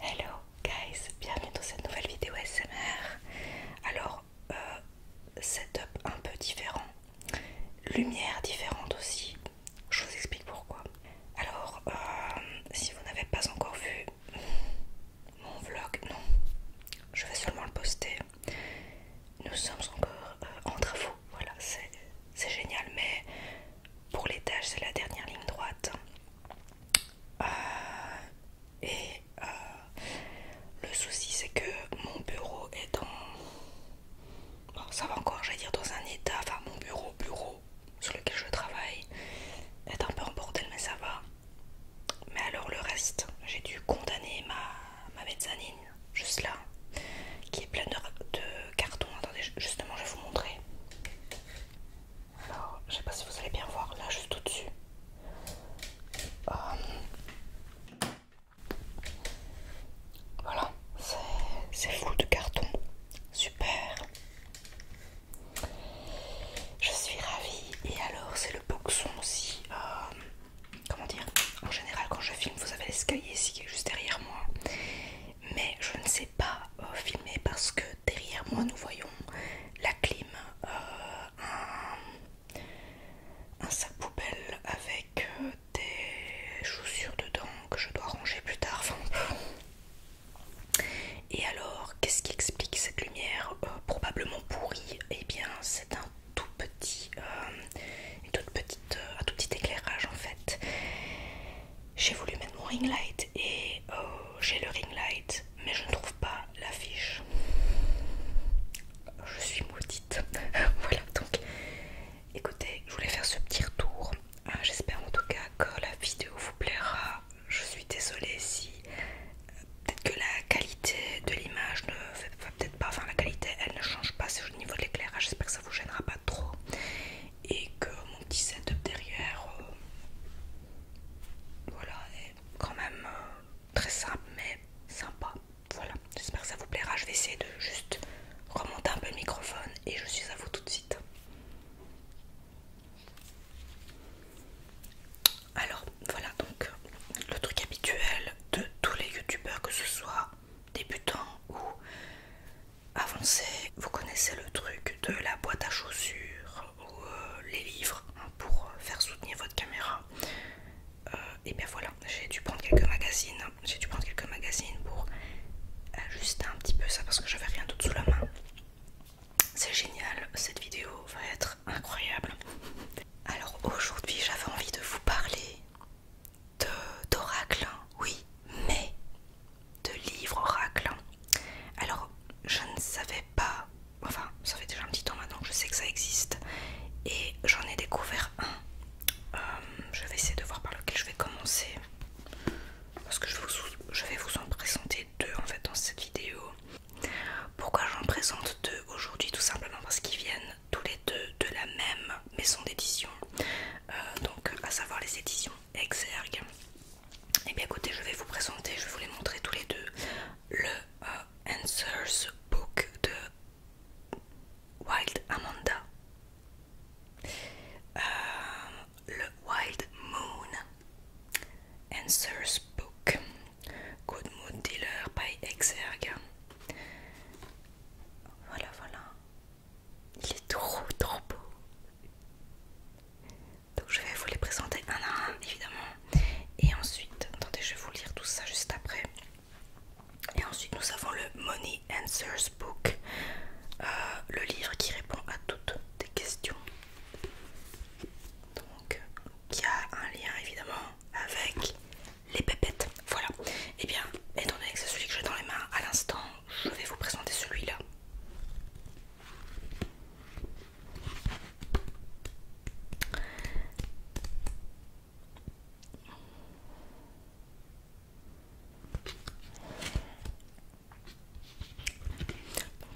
Hello guys, bienvenue dans cette nouvelle vidéo SMR. Alors, euh, setup un peu différent, lumière différente aussi. Je vous explique pourquoi. Alors, euh, si vous n'avez pas encore vu mon vlog, non, je vais seulement le poster. Nous sommes encore euh, en travaux, voilà, c'est génial, mais pour l'étage, c'est la dernière ligne droite. Euh, et euh, le souci, c'est que mon bureau est dans. Bon, ça va encore, j'allais dire dans un état. Enfin, mon bureau, bureau sur lequel je travaille, est un peu en bordel, mais ça va. Mais alors, le reste, j'ai dû condamner ma, ma mezzanine, juste là, qui est pleine de cartons. Attendez, justement, je vais vous montrer. Alors, je sais pas si vous allez bien voir, là juste au-dessus. Euh, voilà, c'est flou de carton. Super. Je suis ravie. Et alors, c'est le boxon aussi. Euh, comment dire En général, quand je filme, vous avez l'escalier ici qui est juste derrière moi mais je ne sais pas euh, filmer parce que derrière moi nous voyons la clim, euh, un, sac poubelle avec euh, des chaussures dedans que je dois ranger plus tard. et alors, qu'est-ce qui explique cette lumière probablement pourrie Et eh bien, c'est un tout petit, un tout petit éclairage en fait. J'ai voulu mettre mon ring light et oh, j'ai le ring light, mais je ne trouve pas l'affiche. Je suis maudite. voilà, donc écoutez, je voulais faire ce petit retour. Ah, j'espère en tout cas que la vidéo vous plaira. Je suis désolée si peut-être que la qualité de l'image ne peut-être pas, enfin la qualité elle ne change pas, c'est au niveau de l'éclairage. J'espère que ça vous gênera pas trop et que mon petit setup derrière euh, voilà est quand même euh, très simple mais sympa voilà j'espère que ça vous plaira je vais essayer de juste remonter un peu le microphone et je suis à vous tout de suite alors voilà donc le truc habituel de tous les youtubeurs que ce soit débutants ou avancez, vous connaissez le truc de la boîte à chaussures ou euh, les livres hein, pour euh, faire soutenir votre caméra. Euh, et bien voilà, j'ai dû prendre quelques magazines. J'ai dû prendre quelques magazines pour ajuster un petit peu ça parce que je j'avais rien d'autre sous la main. C'est génial, cette vidéo va être incroyable. Alors aujourd'hui, j'avais envie de vous parler d'oracle, hein, oui, mais de livres oracles. Hein. Alors, je ne savais pas, enfin, ça fait déjà un petit temps maintenant que je sais que ça existe, et j'en ai découvert un. Euh, je vais essayer de voir par lequel je vais commencer, parce que je, vais vous en présenter deux en fait dans cette vidéo. Pourquoi j'en présente deux aujourd'hui Tout simplement parce qu'ils viennent tous les deux de la même maison d'édition, euh, donc à savoir les éditions Exergue. Et eh bien écoutez, je vais vous présenter, je vais vous les montrer tous les deux, le euh, Answers Book de Wild Amanda, euh, le Wild Moon, Answers Book, Good Mood Dealer by Exergue. Voilà, voilà. Il est trop, trop beau. Donc je vais vous les présenter un à un évidemment. Et ensuite, attendez, je vais vous lire tout ça juste après. Et ensuite nous avons le Money Answers Book, euh, le livre qui répond à toutes tes questions. Donc qui a un lien évidemment avec les pépettes. Voilà. Et eh bien, étant donné que c'est celui que j'ai dans les mains à l'instant, je vais vous présenter celui-là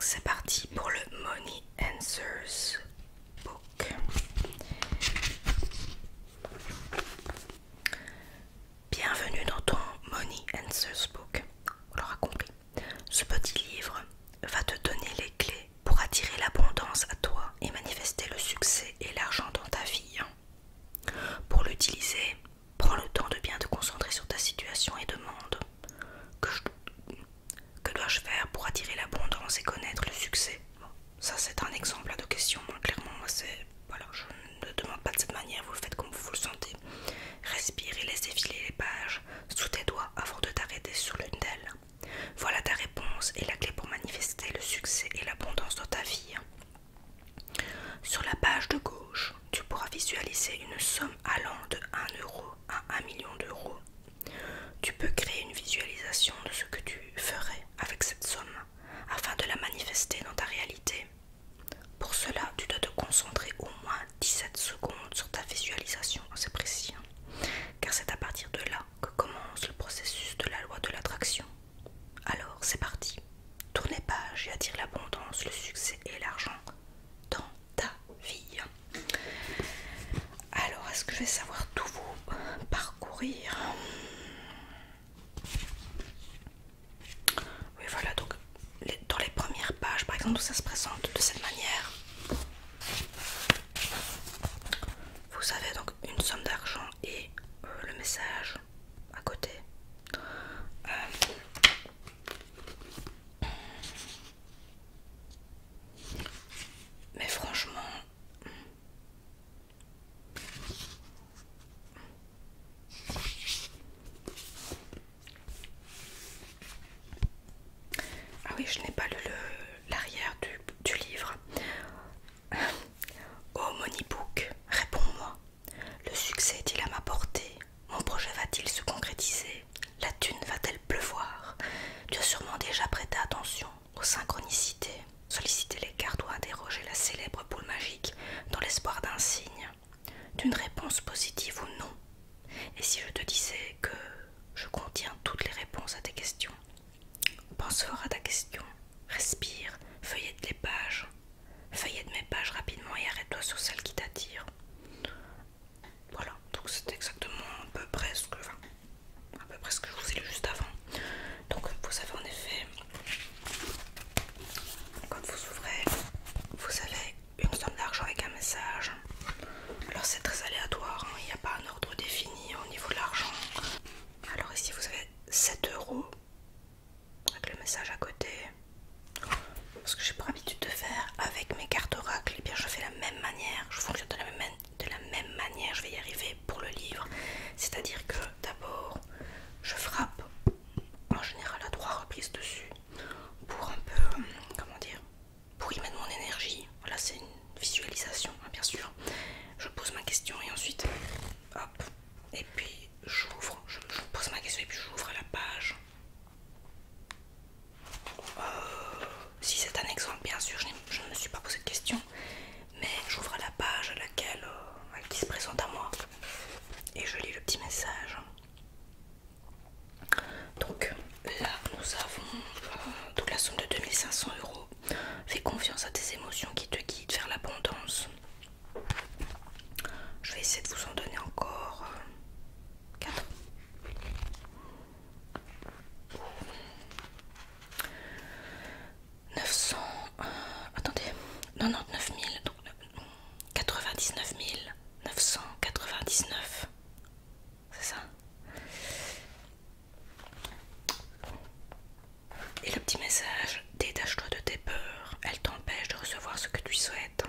c'est parti pour le Money Answers Book. Bienvenue dans ton Money Answers Book. On l'aura compris. Ce petit livre va te donner les clés pour attirer l'abondance à toi et manifester le succès et l'argent dans ta vie. Pour l'utiliser, prends le temps de bien te concentrer sur ta situation et demande que, dois-je faire pour attirer l'abondance et connaître le succès Ça c'est un exemple de question, hein. clairement c'est... je ne demande pas de cette manière, vous le faites comme vous le sentez. Respire et laisse filer les pages sous tes doigts avant de t'arrêter sur l'une d'elles. Voilà ta réponse et la clé pour manifester le succès et l'abondance dans ta vie. Sur la page de gauche, tu pourras visualiser une somme allant de 1 euro à 1 million d'euros. Tu peux créer une visualisation de ce que tu ferais avec cette somme afin de la manifester dans ta réalité. Pour cela, tu dois te concentrer au moins 17 secondes sur ta visualisation, c'est précis, hein. car c'est à partir de là que commence le processus de la loi de l'attraction. Alors, c'est parti. tournez page pages et attire l'abondance, le succès et l'argent dans ta vie. Alors, est-ce que je vais savoir tout vous parcourir oui voilà donc dans les premières pages par exemple où ça se présente de cette manière vous avez donc une somme d'argent et euh, le message à côté euh, mais franchement ah oui, je n'ai pas lu l'arrière du, livre. Oh Moneybook, réponds-moi. Le succès est-il à ma portée Mon projet va-t-il se concrétiser La thune va-t-elle pleuvoir Tu as sûrement déjà prêté attention aux synchronicités, Solliciter les cartes ou interroger la célèbre boule magique dans l'espoir d'un signe d'une réponse positive ou non. Et si je te disais que je contiens toutes les réponses à tes questions Pense fort à ta question, respire, feuillette les pages, feuillette mes pages rapidement et arrête-toi sur celle qui t'attire. Voilà, donc c'est exactement à peu près ce que, à peu près ce que je vous ai lu juste avant. Donc vous savez en effet, quand vous ouvrez, vous avez une somme d'argent avec un message. Alors c'est très aléatoire, hein. il n'y a pas un ordre défini au niveau de l'argent. Alors ici vous avez 7 euros avec le message à côté. Ce que j'ai pour habitude de faire avec mes cartes oracles, et eh bien je fais la même manière, je fonctionne de la de la même manière, je vais y arriver pour le livre. C'est-à-dire que d'abord je frappe en général à trois reprises dessus pour un peu, comment dire, pour y mettre mon énergie. Voilà, c'est une visualisation, hein, bien sûr. Je pose ma question et ensuite, hop, et puis j'ouvre, je, pose ma question et puis j'ouvre la page. Euh, si c'est un exemple, bien sûr, je, ne me suis pas posé de question, mais j'ouvre la page à laquelle, euh, qui se présente à moi, et je lis le petit message. Donc là nous avons euh, la somme de 2500 euros. Fais confiance à tes émotions qui te guident vers l'abondance. Je vais essayer de vous en donner encore 4. Euh, 900... Euh, attendez, 99 000. Donc, 99 999 c'est ça et le petit message détache-toi de tes peurs elles t'empêchent de recevoir ce que tu souhaites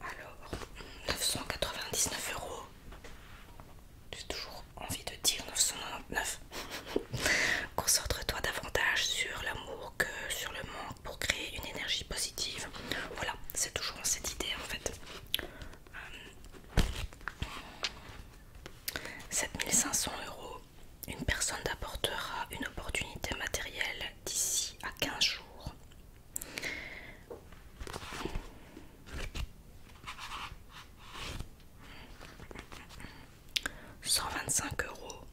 alors 999 euros j'ai toujours envie de dire 999 concentre-toi davantage sur l'amour que sur le manque pour créer une énergie positive voilà c'est toujours cette idée en fait 7500 euh, euros une personne t'apportera une opportunité matérielle d'ici à 15 jours 125 euros.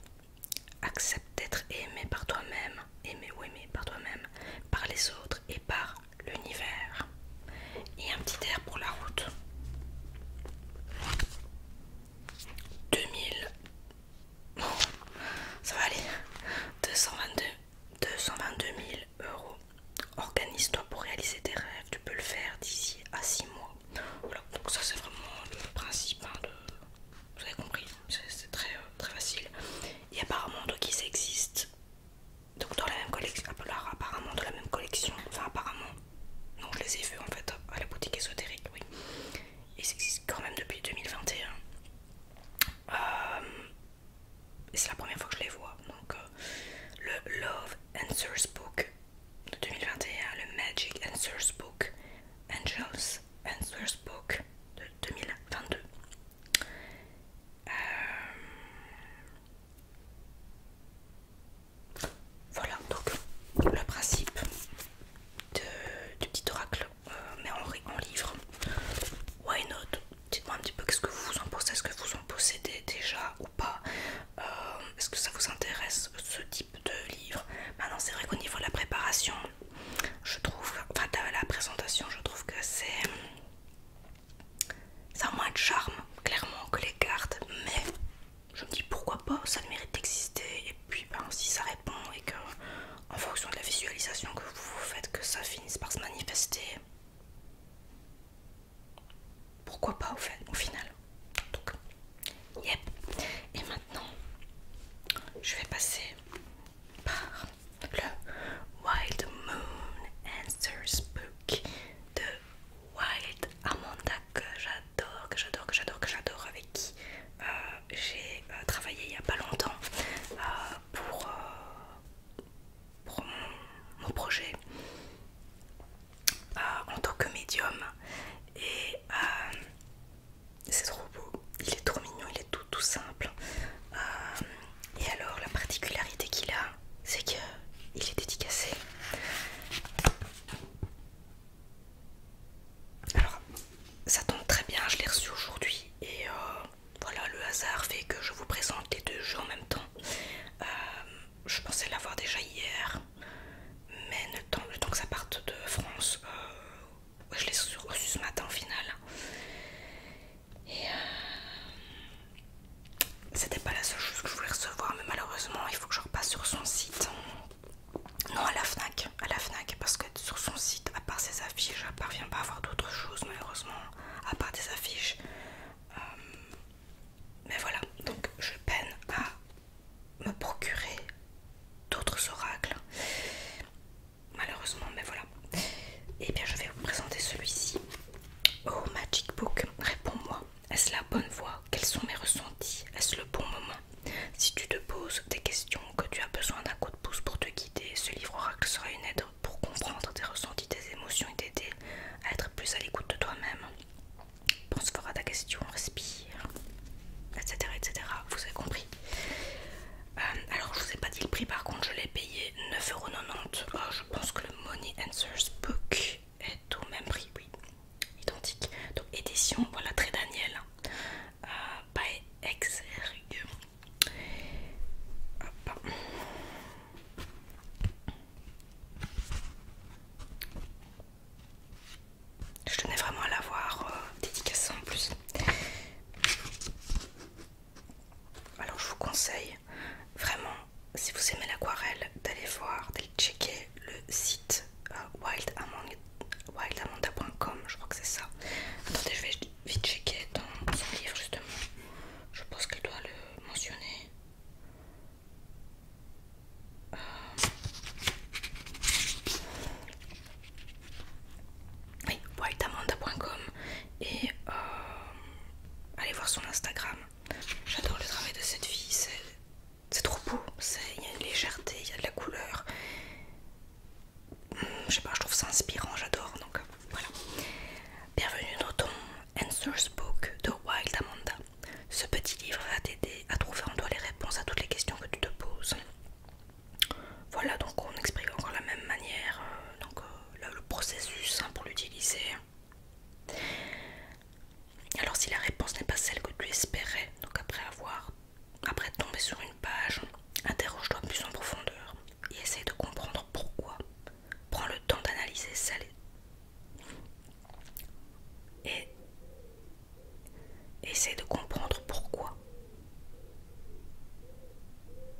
Accepte d'être aimé par toi-même, aimé ou aimé par toi-même, par les autres et par l'univers. Et un petit air pour la route. 2000. ça va aller. 222, 222 000 Organise-toi pour réaliser tes rêves, tu peux le faire d'ici à 6 mois. Voilà, donc ça c'est vraiment le principe hein, Vous avez compris, c'est très, euh, très facile. Et apparemment, donc ils existent. Donc dans la même collection, ah, apparemment dans la même collection, enfin apparemment, non je les ai vus en fait à la boutique ésotérique, oui. Ils existent quand même depuis 2021. Euh, et c'est la première fois que je les vois. Donc, euh, le Love Answers Book de 2021, le Magic Answers Book, Angels Answers Book de 2022. Euh, voilà donc le principe de, du petit oracle, euh, mais en, en livre. Why not Dites-moi un petit peu qu'est-ce que vous en pensez, est-ce que vous en possédez déjà pas euh, Est-ce que ça vous intéresse ce type de livre Maintenant c'est vrai qu'au niveau de la préparation, je trouve, enfin la présentation, je trouve que c'est... Ça a moins de charme, clairement, que les cartes, mais je me dis pourquoi pas, ça mérite d'exister. Et puis, ben, si ça répond et que, en fonction de la visualisation que vous faites, que ça finisse par se manifester, pourquoi pas au, final Donc, yep. Et maintenant, je vais passer par le Wild Moon Answers Book de Wild Amanda que j'adore, que j'adore, que j'adore, que j'adore, avec qui euh, j'ai euh, travaillé il n'y a pas longtemps euh, pour pour mon, projet euh, en tant que médium et euh, c'est trop beau, il est trop mignon, il est tout tout simple. Euh, et alors la particularité qu'il a, c'est que il est dédicacé. Alors ça tombe très bien, je l'ai reçu aujourd'hui et voilà le hasard fait que je vous présente les deux jeux en même temps je pensais l'avoir déjà hier, mais le temps, le temps que ça parte de France, euh, je l'ai reçu ce matin au final. Et euh, c'était pas la seule chose que je voulais recevoir, mais malheureusement, il faut que je repasse sur son site. Non, à la Fnac, à la Fnac, parce que sur son site, à part ses affiches, je parvient pas à avoir d'autres choses, malheureusement, à part des affiches. Euh, mais voilà, donc je peine à me procurer d'autres oracles. Malheureusement, mais voilà. Et eh bien je vais vous présenter celui-ci. Oh Magic Book, réponds-moi. Est-ce la bonne voie Quels sont mes ressentis Est-ce le bon moment Si tu te poses des questions, que tu as besoin d'un coup de pouce pour te guider, ce livre oracle sera une aide pour comprendre tes ressentis, tes émotions et t'aider à être plus à l'écoute de toi-même. Pense fort à ta question, respire, etc. etc. Vous avez compris. Euh, alors, je vous ai pas dit le prix, par contre, je l'ai payé 9,90€. Ah, je pense que le Money Answers Book est au même prix, oui, identique. Donc, édition, voilà, très Daniel, hein. euh, pas by Exergue. Hop. Je tenais vraiment à l'avoir euh, dédicace en plus. Alors je vous conseille vraiment, si vous aimez l'aquarelle, d'aller voir, d'aller checker le site euh, wildamanda.com, je crois que c'est ça. Attendez, je vais vite checker dans son livre justement. Je pense qu'elle doit le mentionner oui, whiteamanda.com et euh, allez voir son Instagram. J'adore le travail de cette fille, c'est trop beau, il y a une légèreté, il y a de la couleur. Hum, je sais pas, je trouve ça inspirant, j'adore donc voilà. Bienvenue dans Answer's Book de Wild Amanda. Ce petit livre va t'aider à trouver en toi les réponses à toutes les questions que tu te poses. Voilà, donc on explique encore la même manière euh, donc, euh, le processus hein, pour l'utiliser. Alors si la réponse n'est pas celle que tu espérais, donc après avoir, après tomber sur une page, interroge-toi plus en profondeur et essaye de comprendre pourquoi. Prends le temps d'analyser celle et essaye de comprendre pourquoi.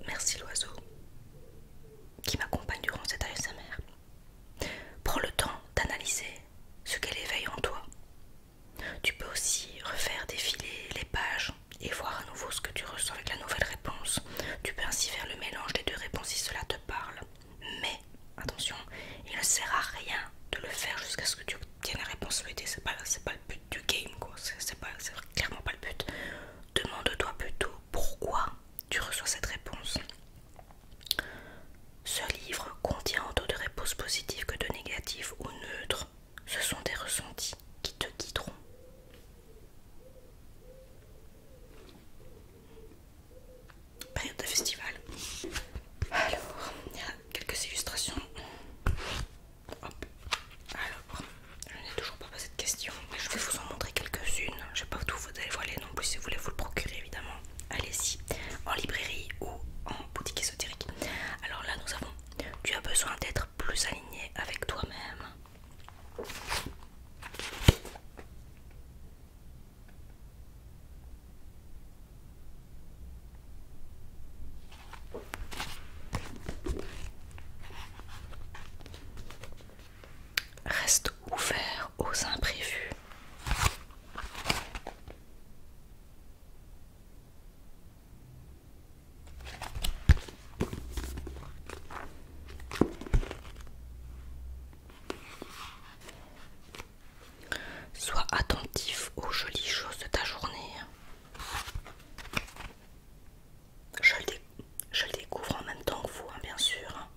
Merci l'oiseau qui m'accompagne durant cette mère. Prends le temps d'analyser ce qu'elle éveille en toi. Tu peux aussi refaire défiler les pages et voir à nouveau ce que tu ressens avec la nouvelle réponse. Tu peux ainsi faire le mélange des deux réponses si cela te parle mais attention, il ne sert à rien de le faire jusqu'à ce que tu obtiennes la réponse souhaitée. C'est pas, pas le but du game, quoi. C'est clairement pas le but. Demande-toi plutôt pourquoi tu reçois cette réponse. Ce livre contient autant de réponses positives que de négatives ou neutres. Ce sont des ressentis qui te guideront période de festival. Alors, il y a quelques illustrations. Hop. Alors, je n'ai toujours pas posé de questions, mais je vais vous en montrer quelques-unes. Je ne vais pas tout vous les non plus si vous voulez vous le procurer évidemment. Allez-y, en librairie ou en boutique ésotérique. Alors là, nous avons Tu as besoin d'être plus aligné avec toi-même. Reste ouvert aux imprévus. Sois attentif aux jolies choses de ta journée. Je le, découvre en même temps que vous, hein, bien sûr. Hein.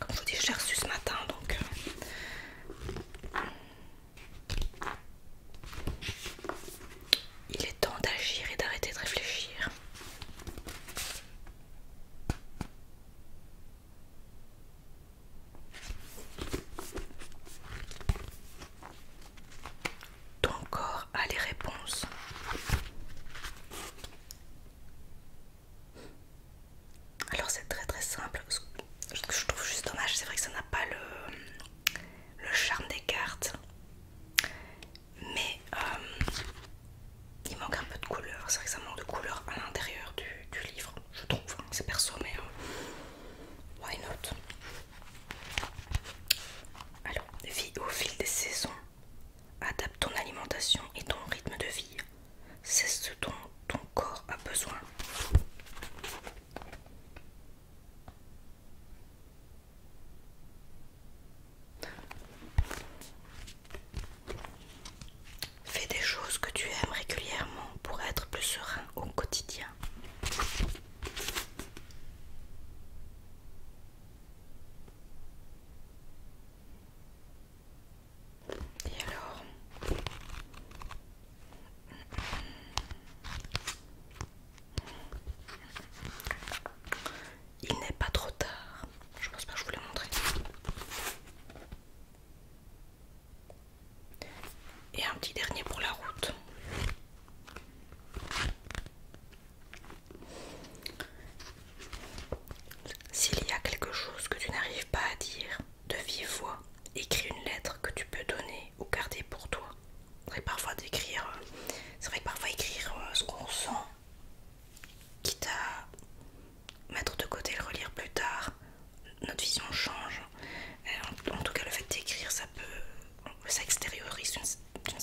Comme je vous dis, je reçu ce matin, donc... Euh, il est temps d'agir et d'arrêter de réfléchir. Ton corps a les réponses. Alors c'est très très simple. je trouve juste dommage, c'est vrai que ça n'a pas le, le charme des cartes mais euh, il manque un peu de couleur. C'est vrai que ça manque de couleur à l'intérieur du, livre, je trouve. Hein. C'est perso, mais euh, why not? Alors, vie au fil des saisons, adapte ton alimentation et ton rythme de vie. C'est ce dont ton corps a besoin. Fais des choses que tu aimes régulièrement pour être plus serein au quotidien. Et alors il n'est pas trop tard. Je pense pas que je vous l'ai montré. Et un petit dernier pour la route. S'il y a quelque chose que tu n'arrives pas à dire de vive voix, écris une lettre que tu peux donner ou garder pour toi. C'est parfois d'écrire, euh, parfois écrire euh, ce qu'on sent quitte à mettre de côté le relire plus tard, notre vision change. Euh, en, tout cas, le fait d'écrire, ça peut, ça extériorise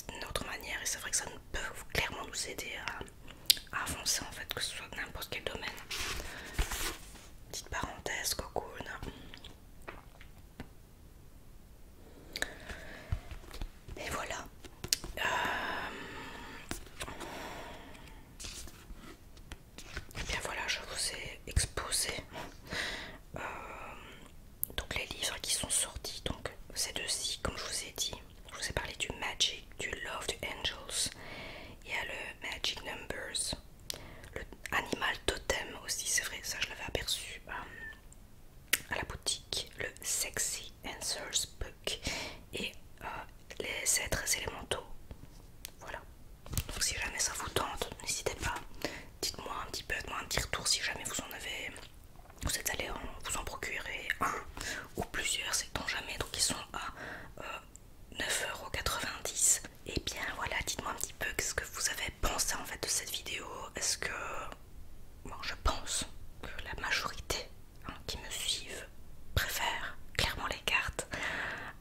d'une autre manière et c'est vrai que ça peut clairement nous aider à, avancer en fait, que ce soit n'importe quel domaine. Petite parenthèse, cocoon. Et voilà. Euh, eh bien voilà, je vous ai exposé euh, donc les livres qui sont sortis. Donc ces deux-ci, comme je vous ai dit, je vous ai parlé du Magic, du Love, du Angels. Il y a le Magic Numbers, le Animal Totem aussi, c'est vrai, ça je l'avais aperçu. Euh, à la boutique le Sexy Answers Book et euh, les êtres élémentaux. Voilà. Donc si jamais ça vous tente, n'hésitez pas. Dites-moi un petit peu, moi un petit retour si jamais vous en avez, vous êtes allé vous en procurer un ou plusieurs, c'est donc jamais. Donc ils sont à 9,90€. Euh, et eh bien voilà, dites-moi un petit peu ce que vous avez pensé en fait de cette vidéo. Est-ce que bon, je pense que la majorité hein, qui me suivent préfère clairement les cartes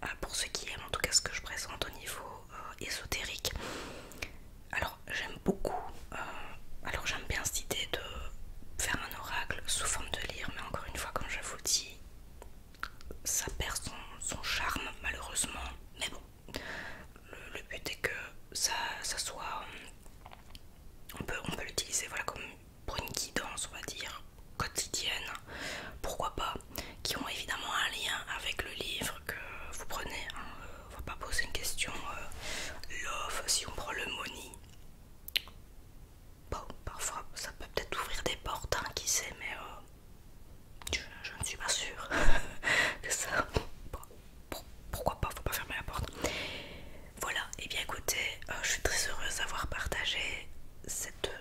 euh, pour ceux qui aiment en tout cas ce que je présente au niveau euh, ésotérique. Alors j'aime beaucoup, euh, alors j'aime bien cette idée de faire un oracle sous forme de lire, mais encore une fois comme je vous dis, ça perd son, charme malheureusement. Mais bon, le, but est que ça soit on peut, l'utiliser voilà, comme pour une guidance, on va dire, quotidienne, pourquoi pas, qui ont évidemment un lien avec le livre que vous prenez. Hein. Euh, on ne va pas poser une question euh, love si on prend le money. Bon, parfois ça peut peut-être ouvrir des portes, hein, qui sait, mais euh, je, ne suis pas sûre que ça pourquoi pas, faut pas fermer la porte. Voilà, et eh bien écoutez, euh, je suis très heureuse d'avoir partagé cette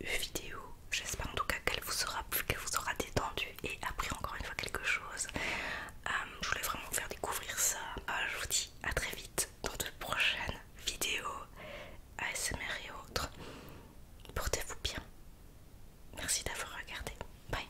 vidéo. J'espère en tout cas qu'elle vous aura qu'elle vous aura détendu et appris encore une fois quelque chose. Euh, je voulais vraiment vous faire découvrir ça. Euh, je vous dis à très vite dans de prochaines vidéos ASMR et autres. Portez-vous bien. Merci d'avoir regardé. Bye.